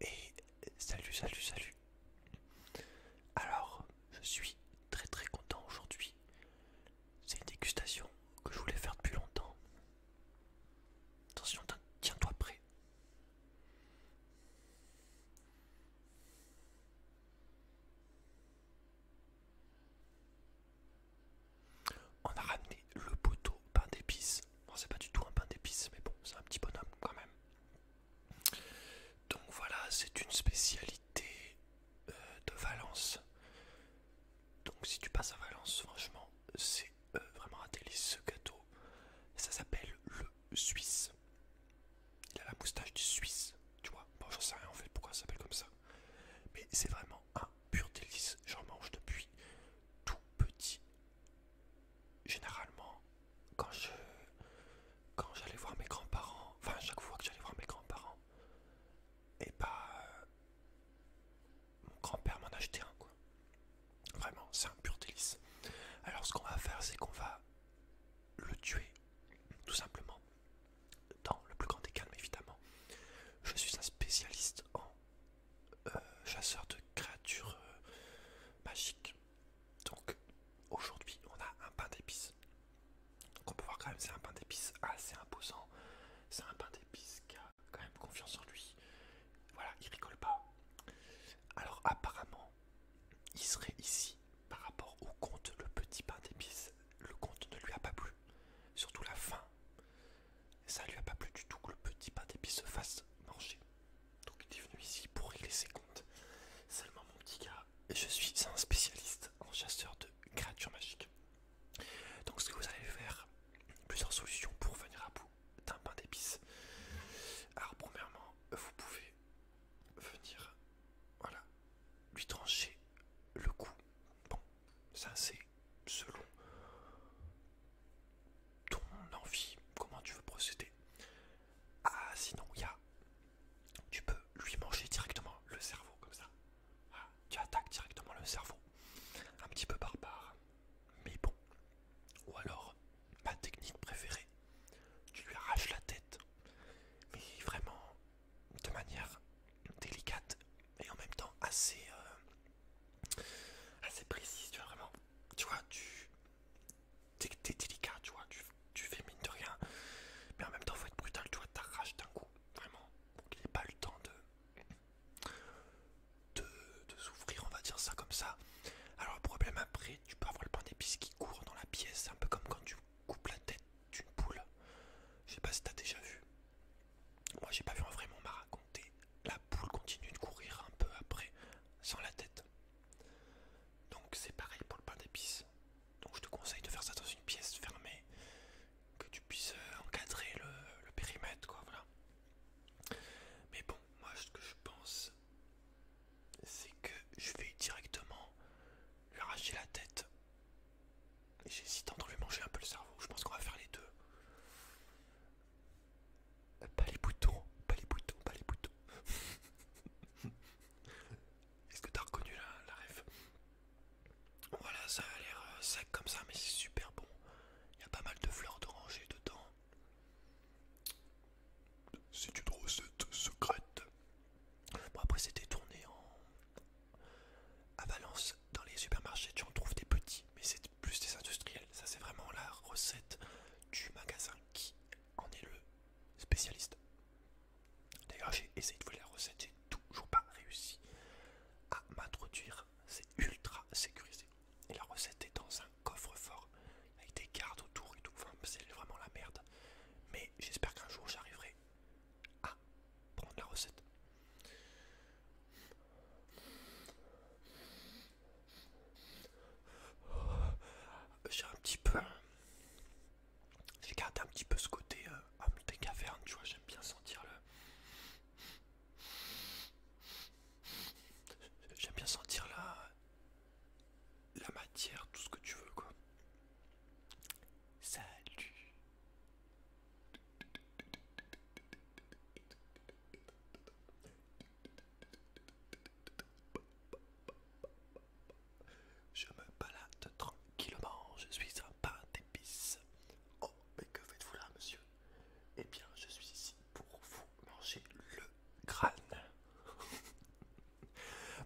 Et salut, salut, salut. Alors, je suis très très content aujourd'hui. C'est une dégustation que je voulais faire depuis longtemps. Attention, tiens-toi prêt. On a ramené le poteau pain d'épices. Bon, c'est pas du tout un pain d'épices, mais bon, c'est un petit bonhomme quand même. Donc voilà, c'est une spécialité euh, de Valence. Donc si tu passes à Valence, franchement, c'est euh, vraiment un délice ce gâteau. Ça s'appelle le Suisse. Il a la moustache du Suisse, tu vois. Bon, j'en sais rien en fait pourquoi ça s'appelle comme ça. Mais c'est vraiment un pur délice. J'en mange depuis tout petit généralement, quand je quand j'allais voir mes grands-parents, enfin chaque fois que j'allais voir mes grands-parents, et eh bah ben, euh, mon grand-père m'en achetait un quoi. Vraiment, c'est un pur délice. Alors ce qu'on va faire, c'est qu'on va le tuer, tout simplement, dans le plus grand des calmes évidemment. Je suis un spécialiste en euh, chasseur de créatures euh, magiques. Donc aujourd'hui on a un pain d'épices. Donc on peut voir quand même c'est un pain d'épices assez imposant. C'est un pain d'épices qui a quand même confiance en lui. Voilà, il rigole pas. Alors apparemment, il serait ici par rapport au compte le petit pain d'épices. Le compte ne lui a pas plu. Surtout la fin. Ça ne lui a pas plu du tout que le petit pain d'épices se fasse manger. Donc il est venu ici pour régler ses comptes. Seulement mon petit gars, je suis un spécialiste en chasseur de créatures magiques. Donc ce que vous allez faire, plusieurs solutions pour venir à bout d'un pain d'épices. Alors premièrement, vous pouvez venir, voilà, lui trancher le cou. Bon, ça c'est selon ton envie, comment tu veux procéder. Ah, sinon, il y Tu peux lui manger directement le cerveau, comme ça. Ah, tu attaques directement le cerveau. Un petit peu barbare, mais bon. Ou alors, ma technique préférée, tu lui arraches la tête, mais vraiment de manière délicate et en même temps assez, euh, assez précise, tu vois, vraiment. Tu vois, tu, t'es délicat, tu vois, tu, fais mine de rien, mais en même temps, faut être brutal, tu vois, t'arraches d'un coup, vraiment, pour qu'il n'ait pas le temps de, de, s'ouvrir on va dire ça comme ça. Alors, le problème après, tu peux avoir le pain d'épices qui court dans la pièce, c'est un peu comme quand tu coupes la tête d'une poule. Je sais pas si t'as déjà vu. Moi, j'ai pas vu en vrai m'a raconté. La poule continue de courir un peu après, sans la tête. Donc c'est pareil pour le pain d'épices. Donc je te conseille de faire ça dans une pièce fermée, que tu puisses euh, encadrer le, périmètre, quoi, voilà. Mais bon, moi ce que je pense, c'est que je vais directement lui arracher la tête. J'hésite entre lui manger un peu le cerveau, je pense qu'on va faire les deux. Pas les boutons, pas les boutons, pas les boutons. Est-ce que t'as reconnu la, ref Voilà, ça a l'air euh, sec comme ça, mais c'est super bon. Il y a pas mal de fleurs d'oranger dedans. C'est une recette secrète. Bon, après, c'était tourné en. à Valence, dans les supermarchés, tu en trouves des petits, mais c'est plus des industriels. Ça, c'est vraiment la recette du magasin qui on est le spécialiste. D'ailleurs, j'ai essayé de voler la recette, j'ai toujours pas réussi à m'introduire. C'est ultra sécurisé. Et la recette est dans un coffre-fort avec des gardes autour et tout. Enfin, c'est vraiment la merde. Mais j'espère qu'un jour j'arriverai à prendre la recette. J'ai un petit peu. J'ai gardé un petit peu ce côté euh, des cavernes, tu vois, j'aime bien sentir le. J'aime bien sentir la. la matière, tout ce que tu veux, quoi. Salut! Je me balade tranquillement, je suis un pain d'épices. Oh, mais que faites-vous là, monsieur Eh bien, je suis ici pour vous manger le crâne.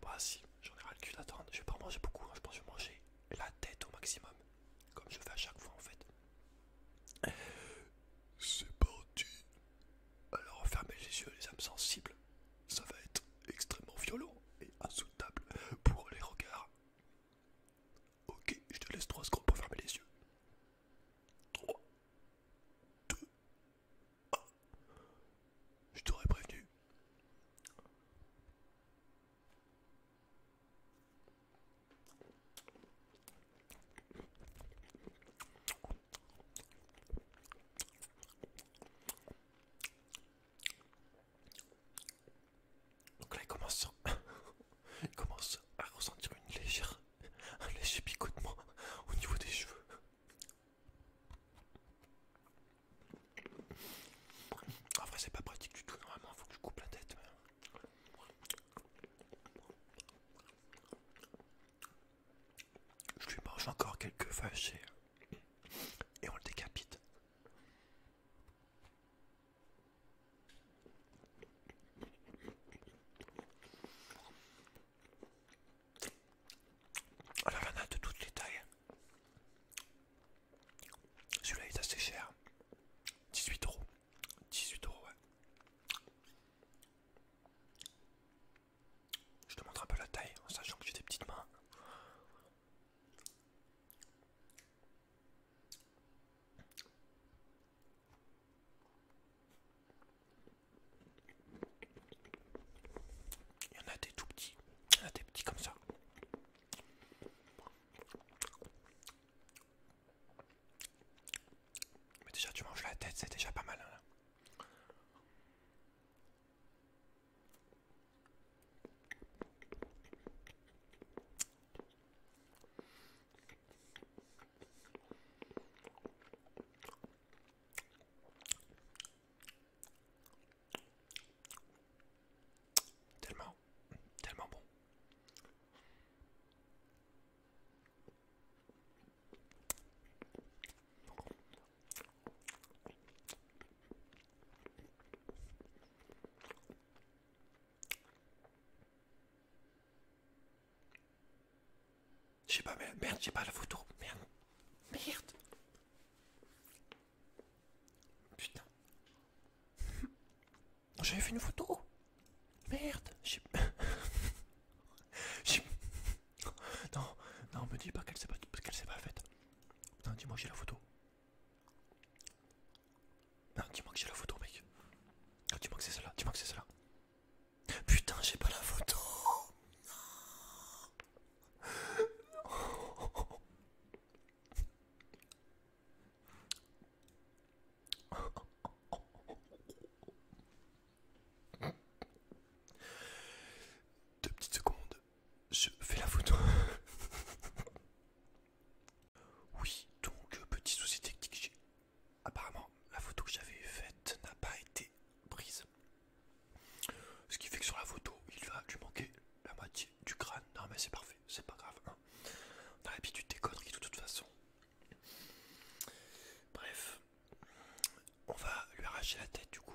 Bah si, j'en ai rien le Je vais pas manger beaucoup, hein. je pense que je vais manger la tête au maximum, comme je fais à chaque fois en fait. C'est parti, alors fermez les yeux les âmes sensibles, ça va être extrêmement violent et insoutenable pour les regards. Ok, je te laisse 3 secondes pour fermer les yeux. 3, 2, 1. Je t'aurais prévenu. Donc là il commence, à ressentir une légère, un léger picotement au niveau des cheveux. En vrai c'est pas pratique du tout, normalement faut que je coupe la tête. Je lui mange encore quelques vaches et, on le décapite. Alors il y de toutes les tailles. Celui-là est assez cher. 18 euros. 18 euros, je te montre un peu la taille en sachant que j'ai des petites mains. Il y en a des tout petits, il y en a des petits comme ça. Mais déjà tu manges la tête, c'est déjà pas mal. là. Hein. Tellement, tellement bon. J'ai pas merde, j'ai pas la photo. Merde. Merde. Putain. J'avais fait une photo. Merde. j'ai... Non, non, me dis pas qu'elle s'est pas, qu'elle s'est pas faite. Non, dis-moi que j'ai la photo. Non, dis-moi que j'ai la photo, mec. Non, dis-moi que c'est cela, là dis-moi que c'est cela. Putain, j'ai pas la photo. Deux petites secondes, je fais la photo. oui, donc euh, petit souci technique. Apparemment, la photo que j'avais faite n'a pas été prise. Ce qui fait que sur la photo, il va lui manquer la moitié du crâne. Non mais c'est parfait, c'est pas grave. On hein. a l'habitude des conneries de toute façon. Bref, on va lui arracher la tête du coup.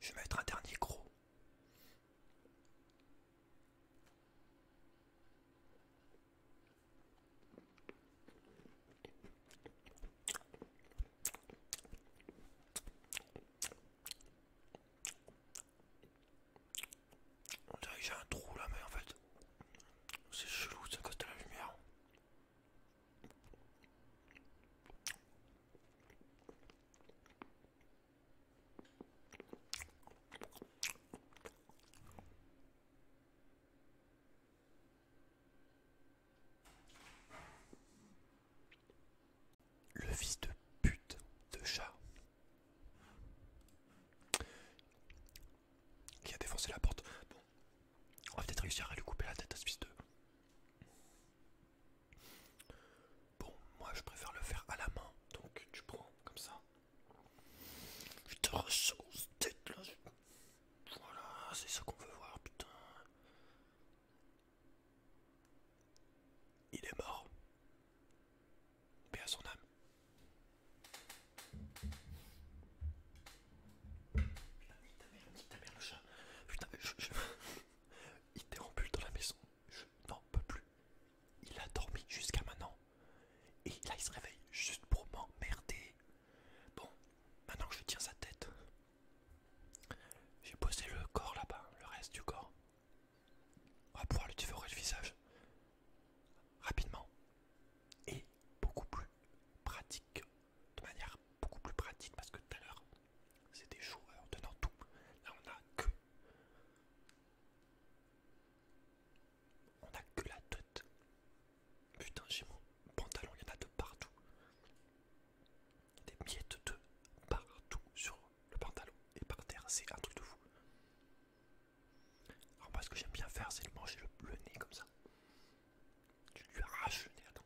Je vais mettre un dernier gros. On dirait que j'ai un trou là mais en fait c'est chelou ça côté de la lumière. Le fils de pute de chat qui a défoncé la porte. Bon, on va peut-être réussir à lui couper la tête à ce fils de. Bon, moi je préfère le faire à la main, donc tu prends comme ça. Je te cette tête là. Voilà, c'est ça qu'on veut voir, putain. Il est mort. Mais à son âme. Putain, ta mère, le chat. Putain, Il dans la maison. Je n'en peux plus. Il a dormi jusqu'à maintenant. Et là, il se réveille juste pour m'emmerder. Bon, maintenant que je tiens sa tête, j'ai posé le corps là-bas, le reste du corps. On va pouvoir lui dévorer le visage rapidement et beaucoup plus pratique de manière beaucoup plus pratique parce que tout à l'heure c'était joueurs hein, en tenant tout. Là on a que on a que la tête. Putain j'ai mon pantalon, il y en a de partout. Des miettes de partout sur le pantalon et par terre, c'est un truc de fou. Alors moi ce que j'aime bien faire c'est de manger le, le nez comme ça. Tu lui arraches nez, attends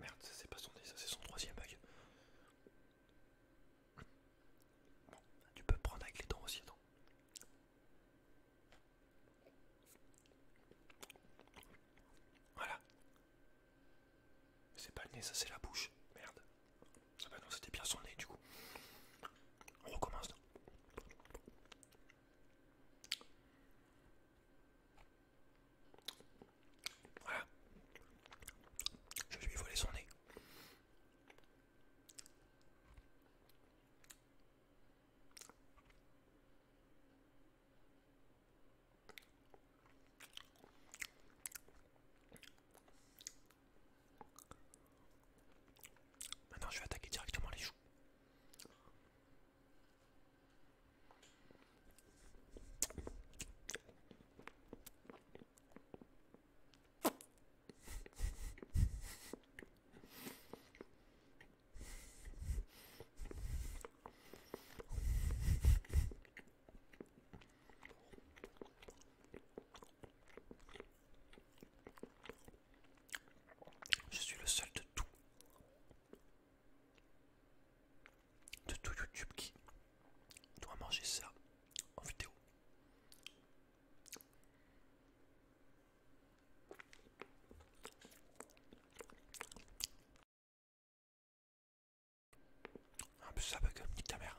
Merde, c'est pas son nez, ça c'est son troisième œil. tu peux prendre avec les dents aussi, attends. Voilà. C'est pas le nez, ça c'est la bouche. Merde. ça ah bah non, c'était bien son nez du coup. On recommence. Voilà. Je lui ai volé son nez. Maintenant je vais attaquer directement les joues. Je suis le seul de tout de tout YouTube qui doit manger ça en vidéo. Un peu ça bug, dit ta mère.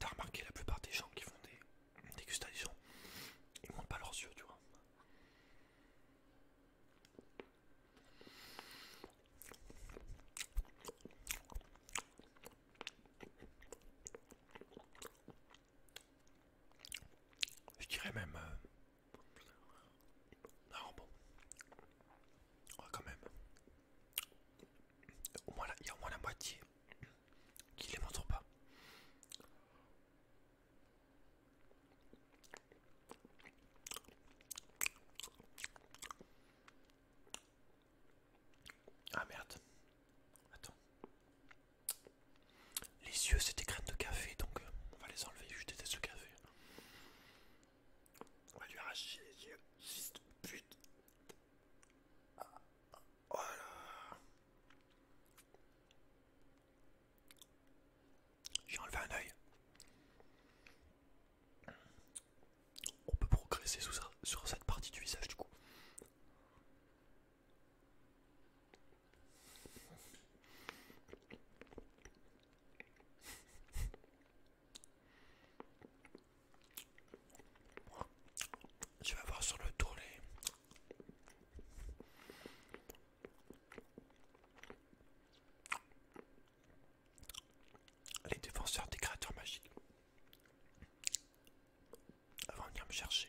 T'as remarqué la plupart des gens qui font des dégustations, ils montent pas leurs yeux, tu vois. Je dirais même... Euh, non, bon. Oh, quand même. Au moins, il y a au moins la moitié qui les montre pas. Ah merde. Attends. Les yeux, c'est des graines de café, donc euh, on va les enlever. Je déteste le café. On va lui arracher les yeux. Juste pute. Ah, ah, voilà. J'ai enlevé un œil. On peut progresser sur cette partie du visage du coup. Je vais voir sur le tour les... Les défenseurs des créatures magiques. Avant de venir me chercher.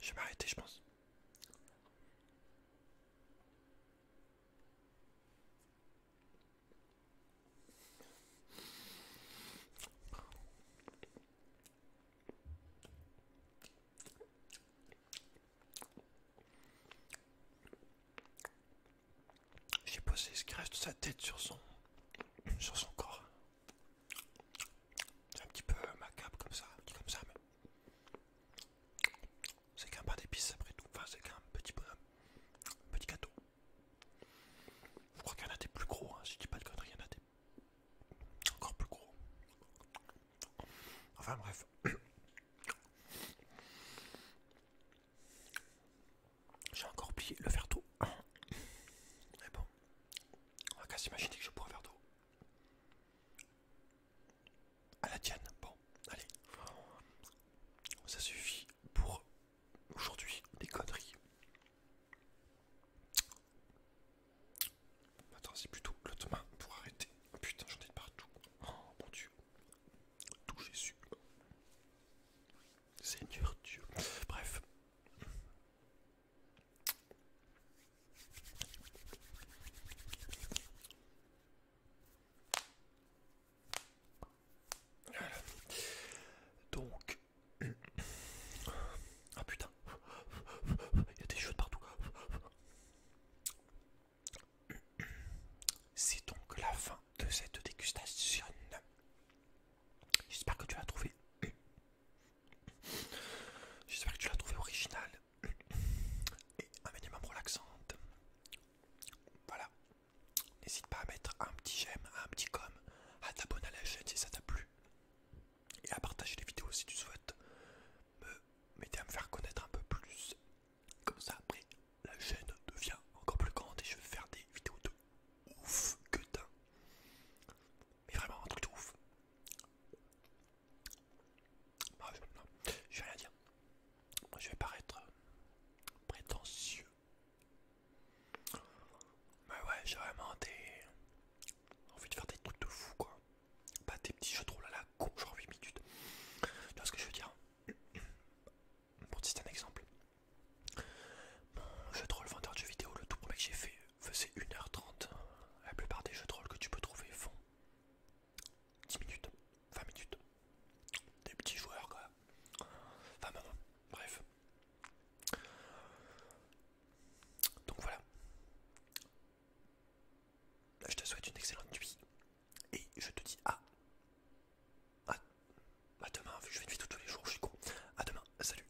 Je vais m'arrêter, je pense. J'ai posé ce qui reste de sa tête sur son sur son corps. C'est un petit peu macabre comme ça, comme ça, mais c'est qu'un pas d'épices après tout, enfin c'est qu'un petit petit gâteau. Je crois qu'il y en a des plus gros, hein. si je dis pas de conneries, il y en a des encore plus gros. Enfin bref. J'ai encore oublié le faire tout. Mais bon, on va quasiment s'imaginer que je pourrais faire de d'eau. À la tienne, bon, allez. Ça suffit pour aujourd'hui des conneries. Attends, c'est plutôt l'autre main pour arrêter. Oh, putain, j'en ai de partout. Oh mon dieu. Tout Jésus. Seigneur Dieu. Bref. Donc, ah putain, il y a des choses partout. C'est donc la fin de cette dégustation. J'espère que tu as trouvé J'espère que tu l'as trouvé original et un minimum relaxante. Voilà. N'hésite pas à mettre un petit j'aime, un petit comme, à t'abonner à la chaîne si ça t'a plu et à partager les vidéos si tu souhaites. Me m'aider à me faire connaître un peu plus. Comme ça après la chaîne devient encore plus grande et je vais faire des vidéos de ouf que d'un. Mais vraiment un truc de ouf. Bah, je vais rien dire. Moi, je vais paraître euh, prétentieux. Mais ouais, j'ai vraiment envie de faire des trucs de fou, quoi. Pas des petits jeux de rôle à la con, genre 8 minutes. Tu vois ce que je veux dire Pour citer un exemple, Je jeu de rôle vendeur de jeux vidéo, le tout premier que j'ai fait, faisait 1h30. La plupart des jeux de rôle que tu peux trouver font 10 minutes, 20 minutes. Des petits joueurs quoi. Enfin maman bref. Donc voilà. Je te souhaite une excellente nuit. Et je te dis à... à demain. Je fais une vidéo tous les jours, je suis con. À demain. Salut.